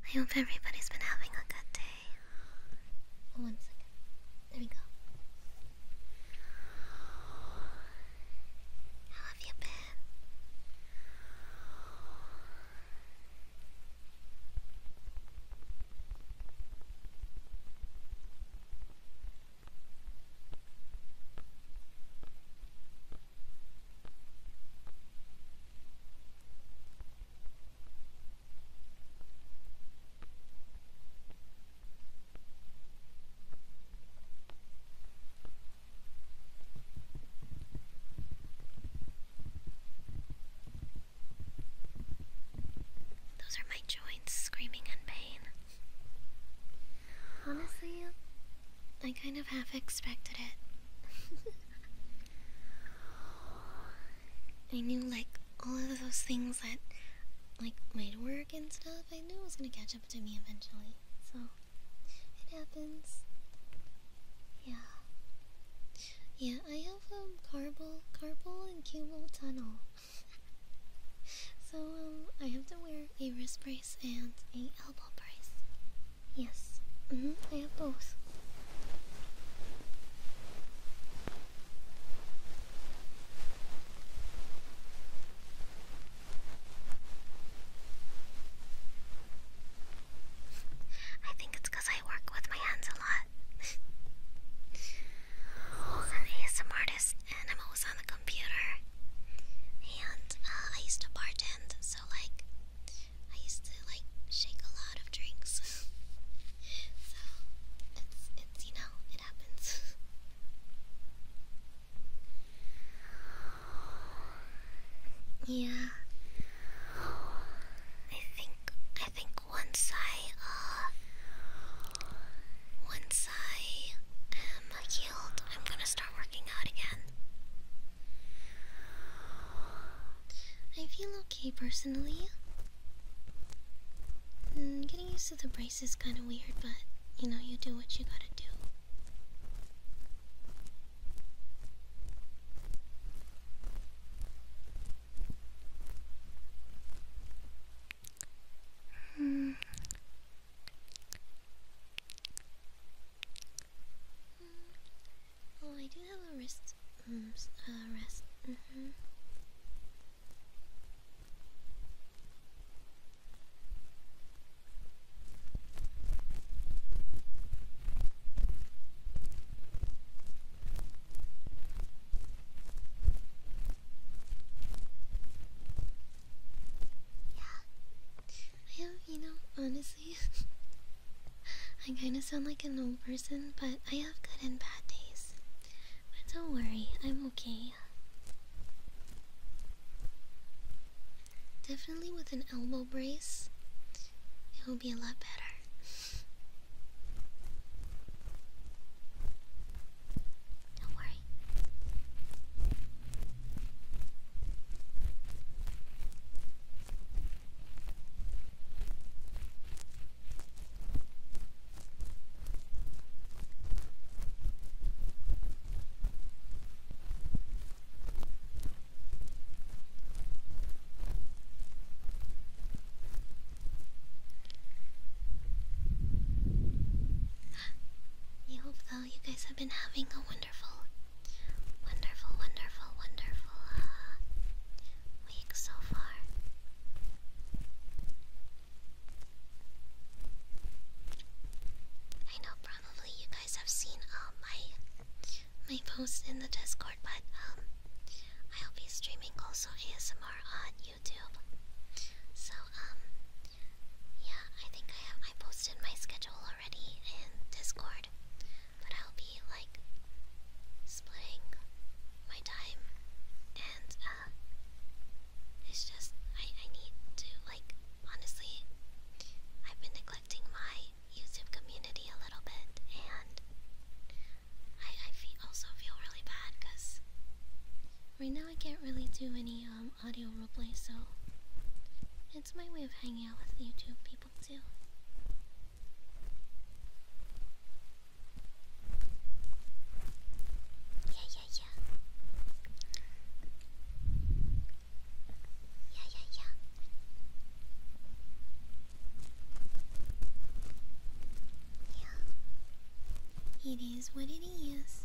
I hope everybody's been having a good day. There we go. How have you been? Those are my joints screaming in pain. Honestly, I kind of half expected it. I knew, like, all of those things that, like made work and stuff, I knew it was gonna catch up to me eventually. So it happens. Yeah. Yeah, I have a um, carpal, carpal and cubal tunnel. so um, I have to wear a wrist brace and a elbow brace. Yes. Mm -hmm. I have both. I think it's because I work with my hands a lot. I'm an ASM artist and I'm always on the computer. And uh, I used to bartend, so like, I used to like shake a lot of drinks. so it's, you know it happens. yeah, I think I think once I uh, once I um, am healed, I'm gonna start working out again. I feel okay personally. Mm, getting used to the brace is kind of weird, but you know, you do what you gotta do. Hmm. Oh, I do have a wrist, um, uh, mm-hmm. Yeah, I you know, honestly, I kind of sound like an old person, but I have good and bad days. But don't worry, I'm okay. Definitely with an elbow brace, it will be a lot better. Don't worry. I hope though you guys have been having a wonderful, wonderful, wonderful, wonderful uh, week so far. I know probably you guys have seen um my my post in the Discord, but um, I'll be streaming also ASMR on YouTube. So um, yeah, I think I have I posted my schedule already in Discord, but I'll be like splitting my time and uh, it's just I I need to like honestly I've been neglecting my YouTube community a little bit and I I feel also feel really bad because right now I can't really do any um audio replays so it's my way of hanging out with YouTube people too. Yeah, yeah, yeah. Yeah, yeah, yeah. Yeah. It is what it is.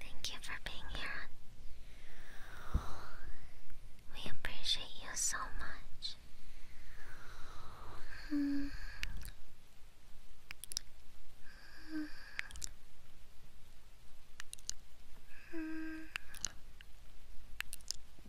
Thank you for being here. We appreciate you so much.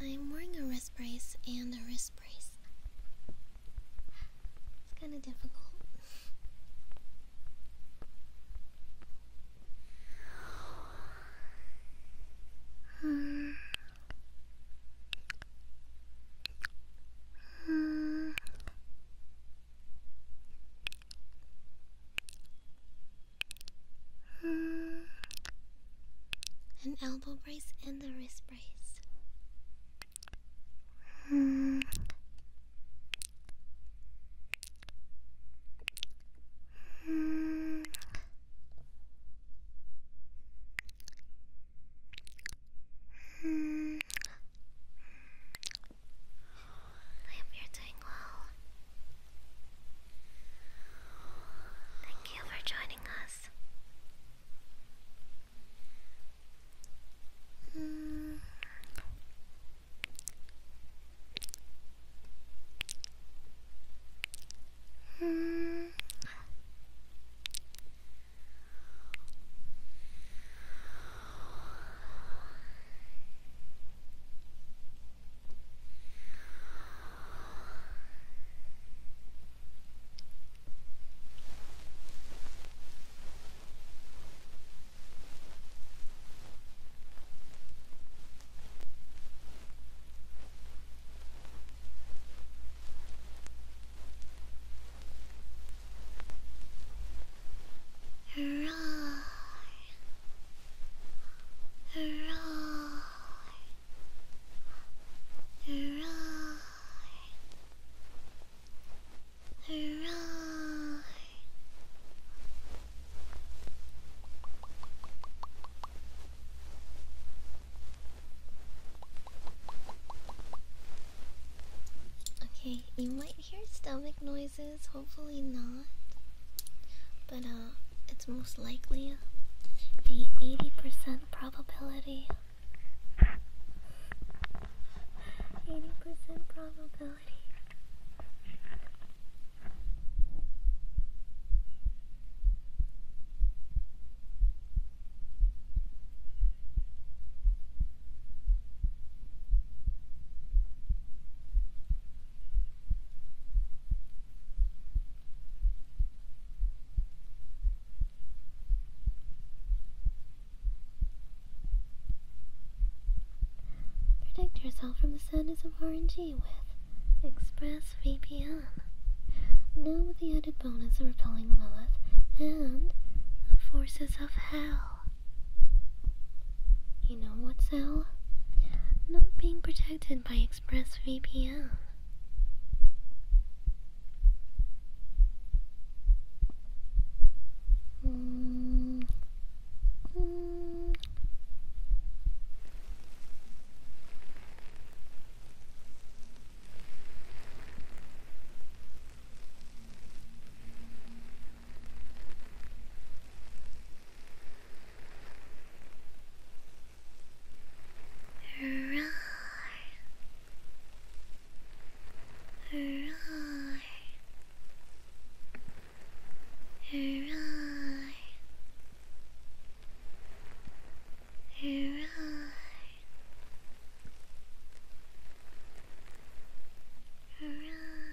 I'm wearing a wrist brace and a wrist brace. It's kind of difficult. An elbow brace and a wrist brace. I hope you're doing well. Thank you for joining us. Mm. Mm. Hurrah! Right. Right. Right. Okay, you might hear stomach noises cases, hopefully not. But uh, it's most likely a 80% probability. 80% probability. Protect yourself from the sadness of R and G with ExpressVPN. Now with the added bonus of repelling Lilith and the forces of hell. You know what's hell? Not being protected by ExpressVPN. Roar. Roar. Roar. Roar. Roar.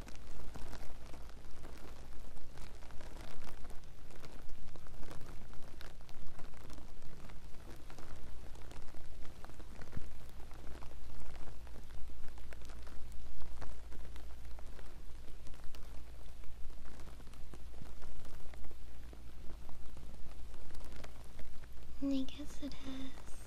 I guess it is.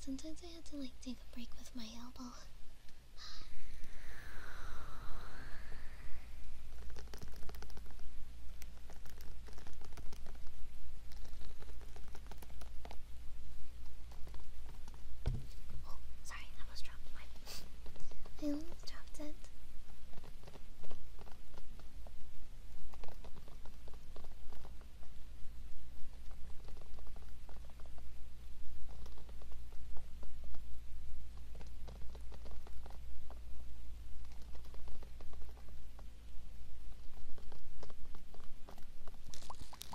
Sometimes I had to like take a break with my elbow. Oh, sorry, I almost dropped my. I almost dropped it.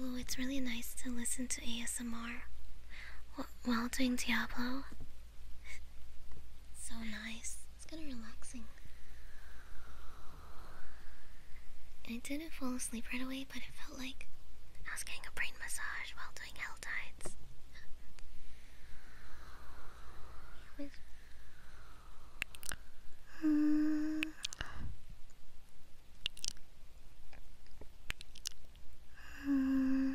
Oh, it's really nice to listen to ASMR while doing Diablo. so nice. It's kind of relaxing. I didn't fall asleep right away, but it felt like I was getting a brain massage while doing hell tides. Hmm. Hmm.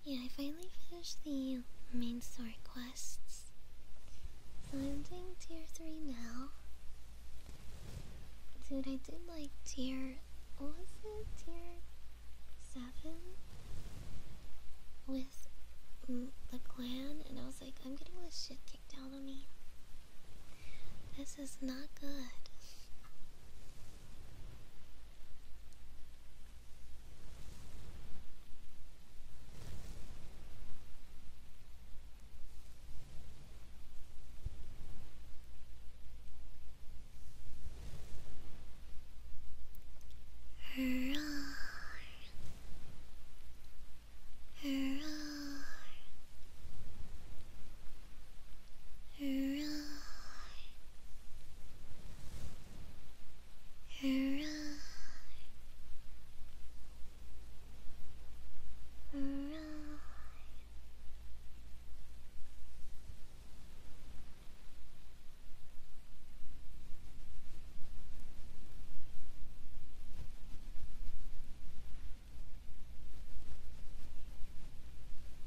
Yeah, I finally finished the main story quests. So I'm doing tier 3 now. Dude, I did like tier. What was it? Tier 7? With the clan, and I was like, I'm getting this shit kicked out of me. This is not good. Hurrah! Alright. Alright.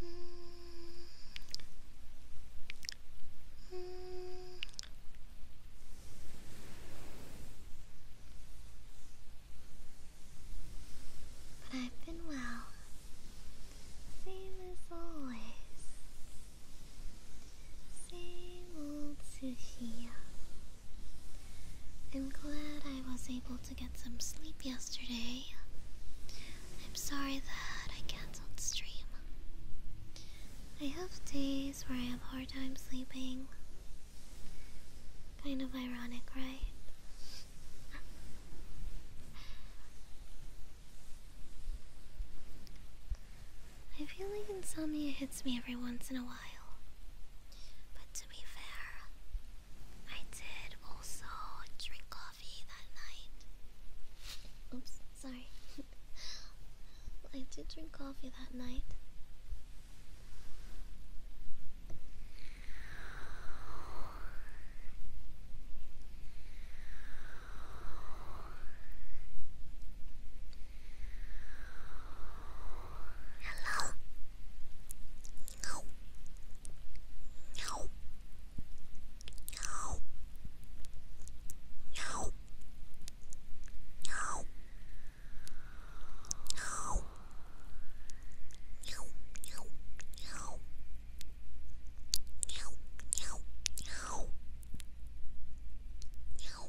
But I've been well, same as always. Same old Sushi. I'm glad I was able to get some sleep yesterday. I'm sorry that I cancelled stream. I have days where I have hard time sleeping. Kind of ironic, right? I feel like insomnia hits me every once in a while. But to be fair, I did also drink coffee that night. Oops, sorry. I did drink coffee that night. Hello? No. No. No. No. No. No. No, no, no. No, no, no. No.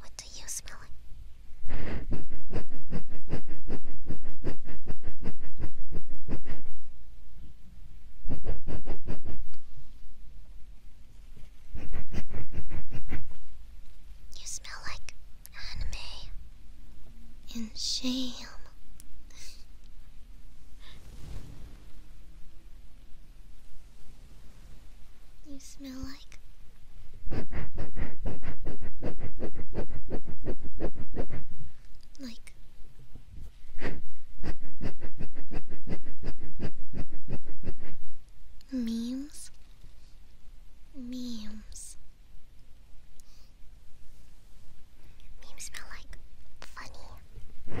What do you smell like? You smell like anime and shame. you smell like like memes, memes. Memes smell like funny.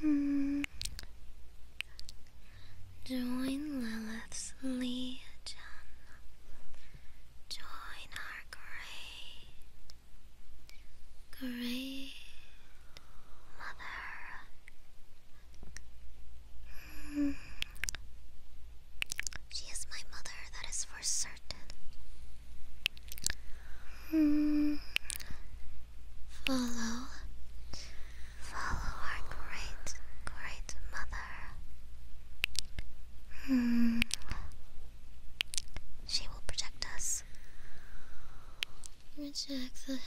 Hmm. Join Lilith's Legion. Join our great, great mother. Hmm. She is my mother, that is for certain. Hmm. Follow, follow our great, great mother. Hmm. She will protect us. Reject the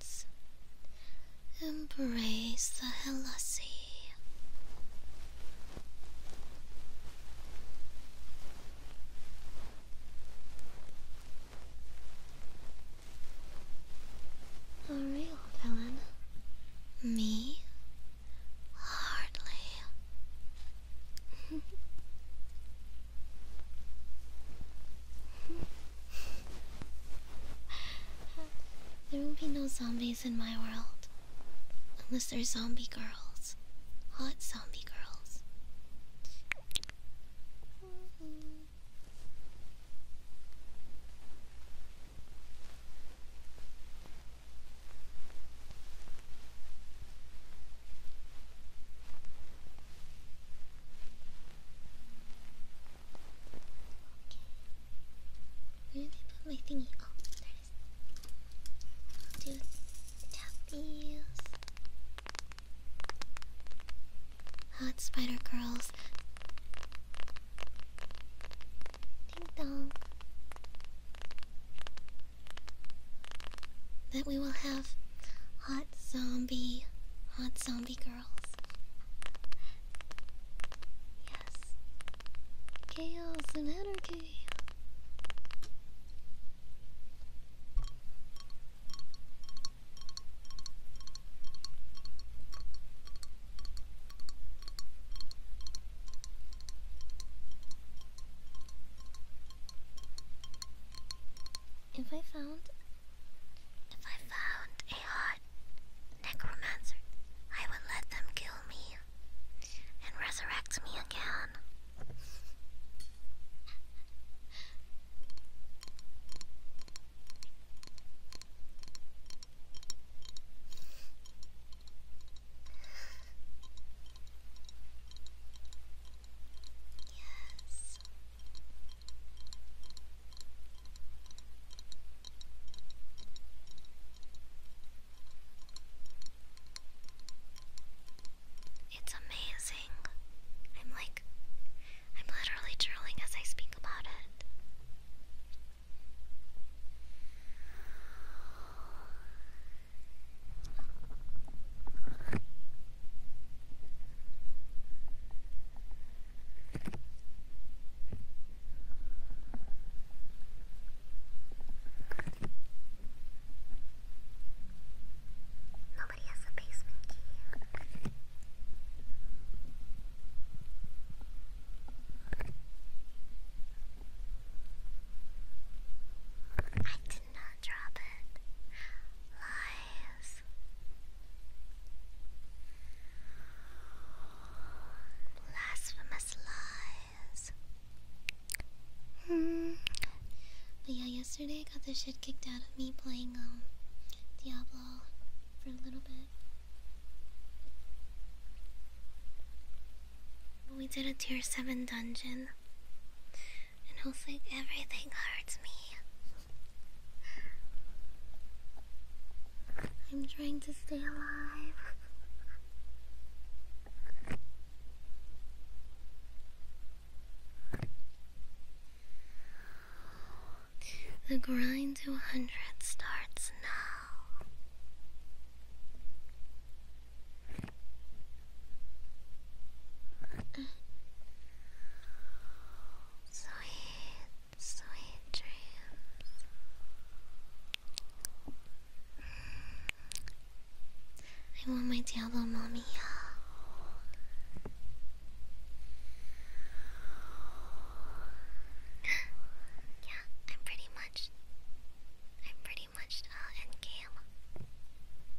heavens. Embrace the Hellassi. A real villain? Me? Hardly. there will not be no zombies in my world. Unless they're zombie girls. Hot zombie where did I put my thingy? Oh, do tap Hot oh, spider curls. Ding dong. That we will have hot zombie, hot zombie girls. Yes. Chaos and anarchy. If I found if I found a hot necromancer, I would let them kill me and resurrect me again. Yes. It's amazing. I'm like, I'm literally drooling as I speak about it. Nobody has a basement key. I did not drop it. Lies. Blasphemous lies. Hmm. But yeah, yesterday I got the shit kicked out of me playing um, Diablo for a little bit. But we did a tier 7 dungeon. And I was like, everything hurts me. I'm trying to stay alive. The grind to 100 starts now. Sweet, sweet dreams. I want my Diablo mommy. yeah, I'm pretty much. I'm pretty much uh, end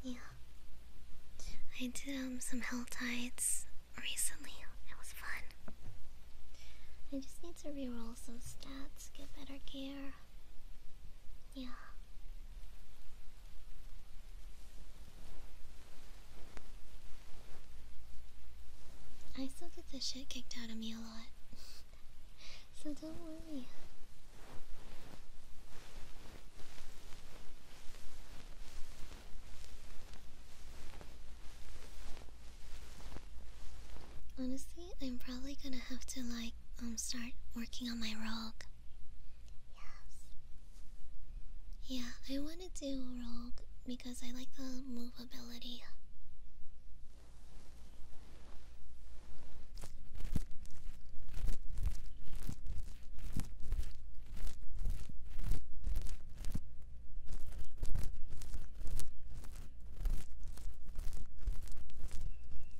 Yeah. I did um, some hell tides recently. It was fun. I just need to reroll some stats, get better gear. Yeah. I still get the shit kicked out of me a lot. so don't worry. Honestly, I'm probably gonna have to like I um start working on my rogue. Yes. Yeah, I want to do rogue because I like the movability.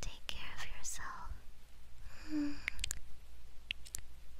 Take care of yourself.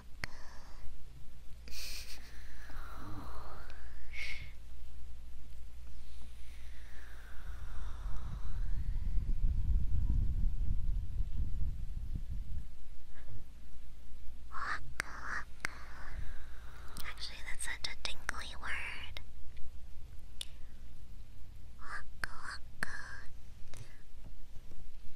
good. Waka Actually, that's such a tingly word. Waka waka.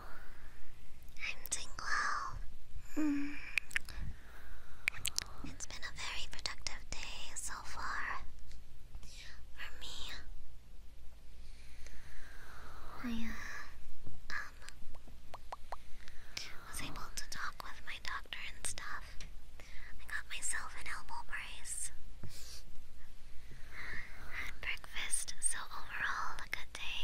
I'm doing well. Hmm. It's been a very productive day so far for me. I uh, um, was able to talk with my doctor and stuff. I got myself an elbow brace. Had breakfast, so overall a good day.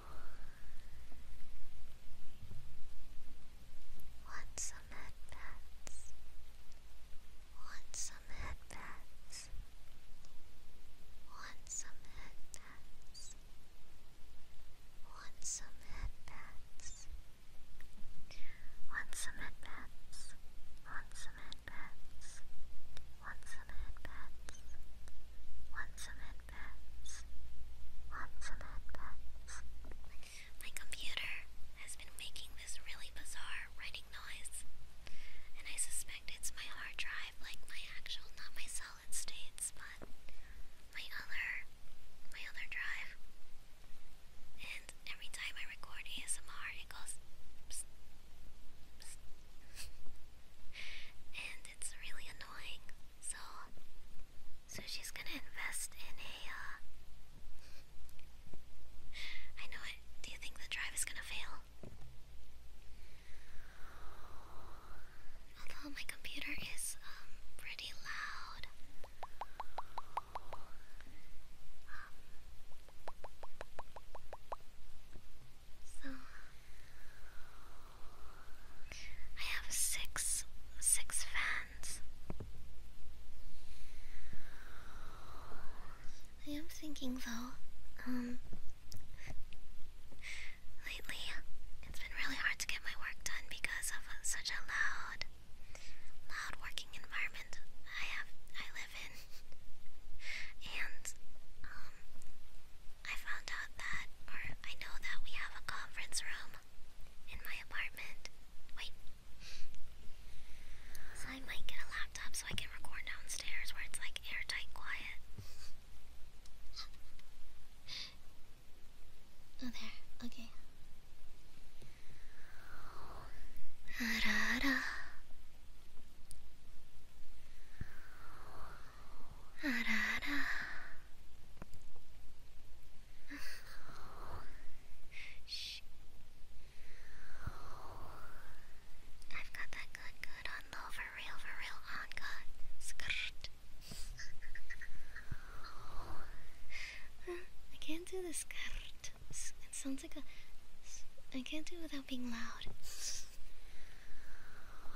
Want some headpats? Want some headpats? Want some headpats? Want some headpats? Want some headpats? Want some headpats? Want some headpats? Want some headpats? pets. My computer has been making this really bizarre writing noise, and I suspect it's my hard drive, like my actual, not my solid states, but my other, my other drive. And every time I record ASMR, it goes. Psst, psst. and it's really annoying. So, so she's gonna invest in a. Uh, know it. Do you think the drive is gonna fail? Although my computer is um pretty loud. Um, so I have six six fans. I am thinking though, um lately it's been really hard to get my work done because of such a loud loud working environment I have I live in. And um I found out that, or I know that we have a conference room in my apartment. Wait. I might get a laptop so I can record downstairs where it's like airtight quiet. oh, there. Okay. I've got that good good on low for real for real on god skirt I can't do the skirt it sounds like a I can't do without being loud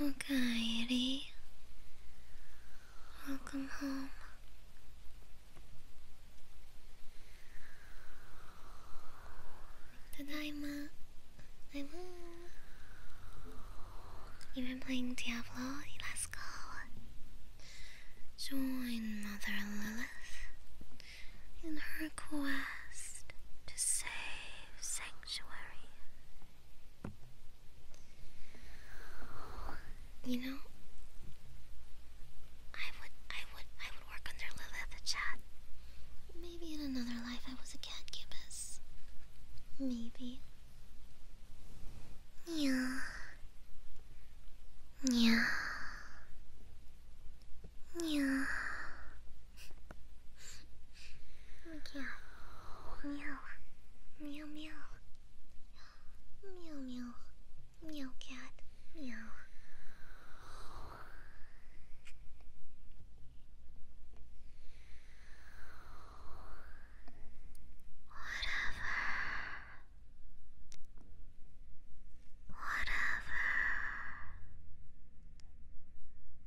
Okay, Eddie. Welcome home. Tadaima. I'm home. You've been playing Diablo? Let's go. Join Mother Lilith in her quest to save Sanctuary. You know, I would, I would, I would work under Lilith Maybe in another life I was a cat gibbous. Maybe. Yeah. Yeah. Yeah meow, meow, meow, meow, meow, meow, meow, cat, meow. Whatever. Whatever.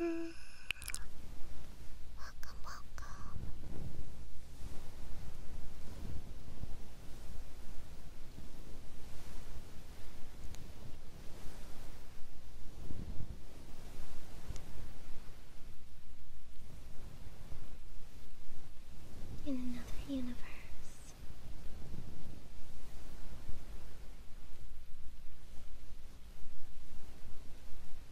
Welcome, welcome. In another universe.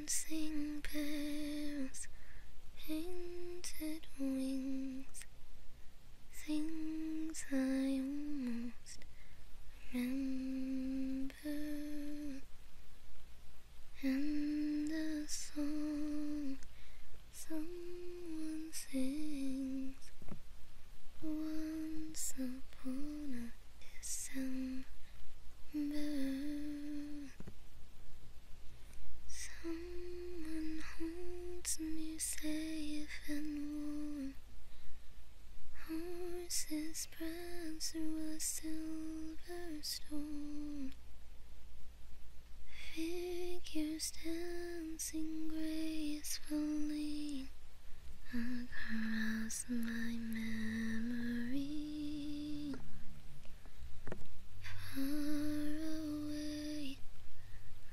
dancing birds, painted wings, things I almost remember, and the song someone sings once upon a December. Someone holds me safe and warm. Horses prance through a silver storm. Figures dancing gracefully across my memory. Far away,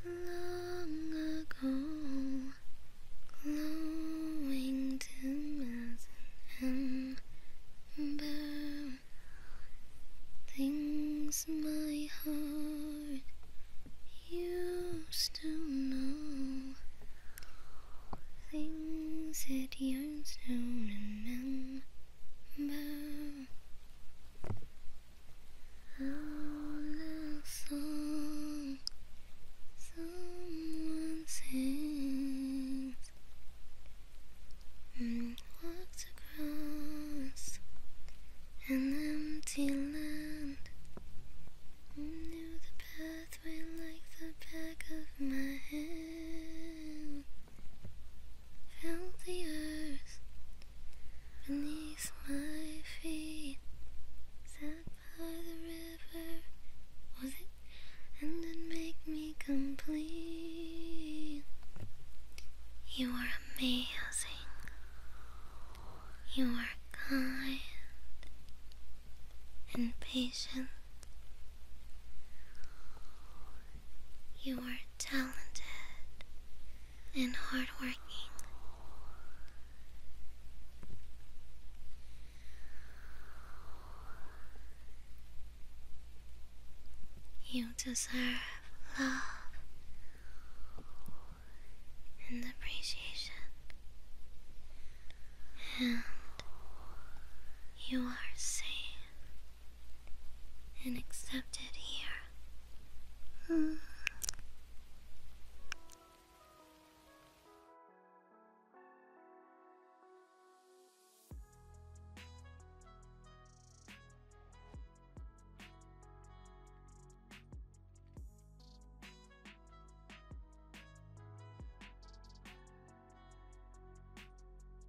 long ago, glowing dim as an ember, things my heart used to know, things it yearns to remember. About a song someone sings and walks across an empty land knew the pathway like the back of my hand felt the earth beneath my feet. Sat by the river, was it? And it make me complete. You are amazing. You are kind and patient. You are talented and hardworking. You deserve love and appreciation, and you are safe and accept it here.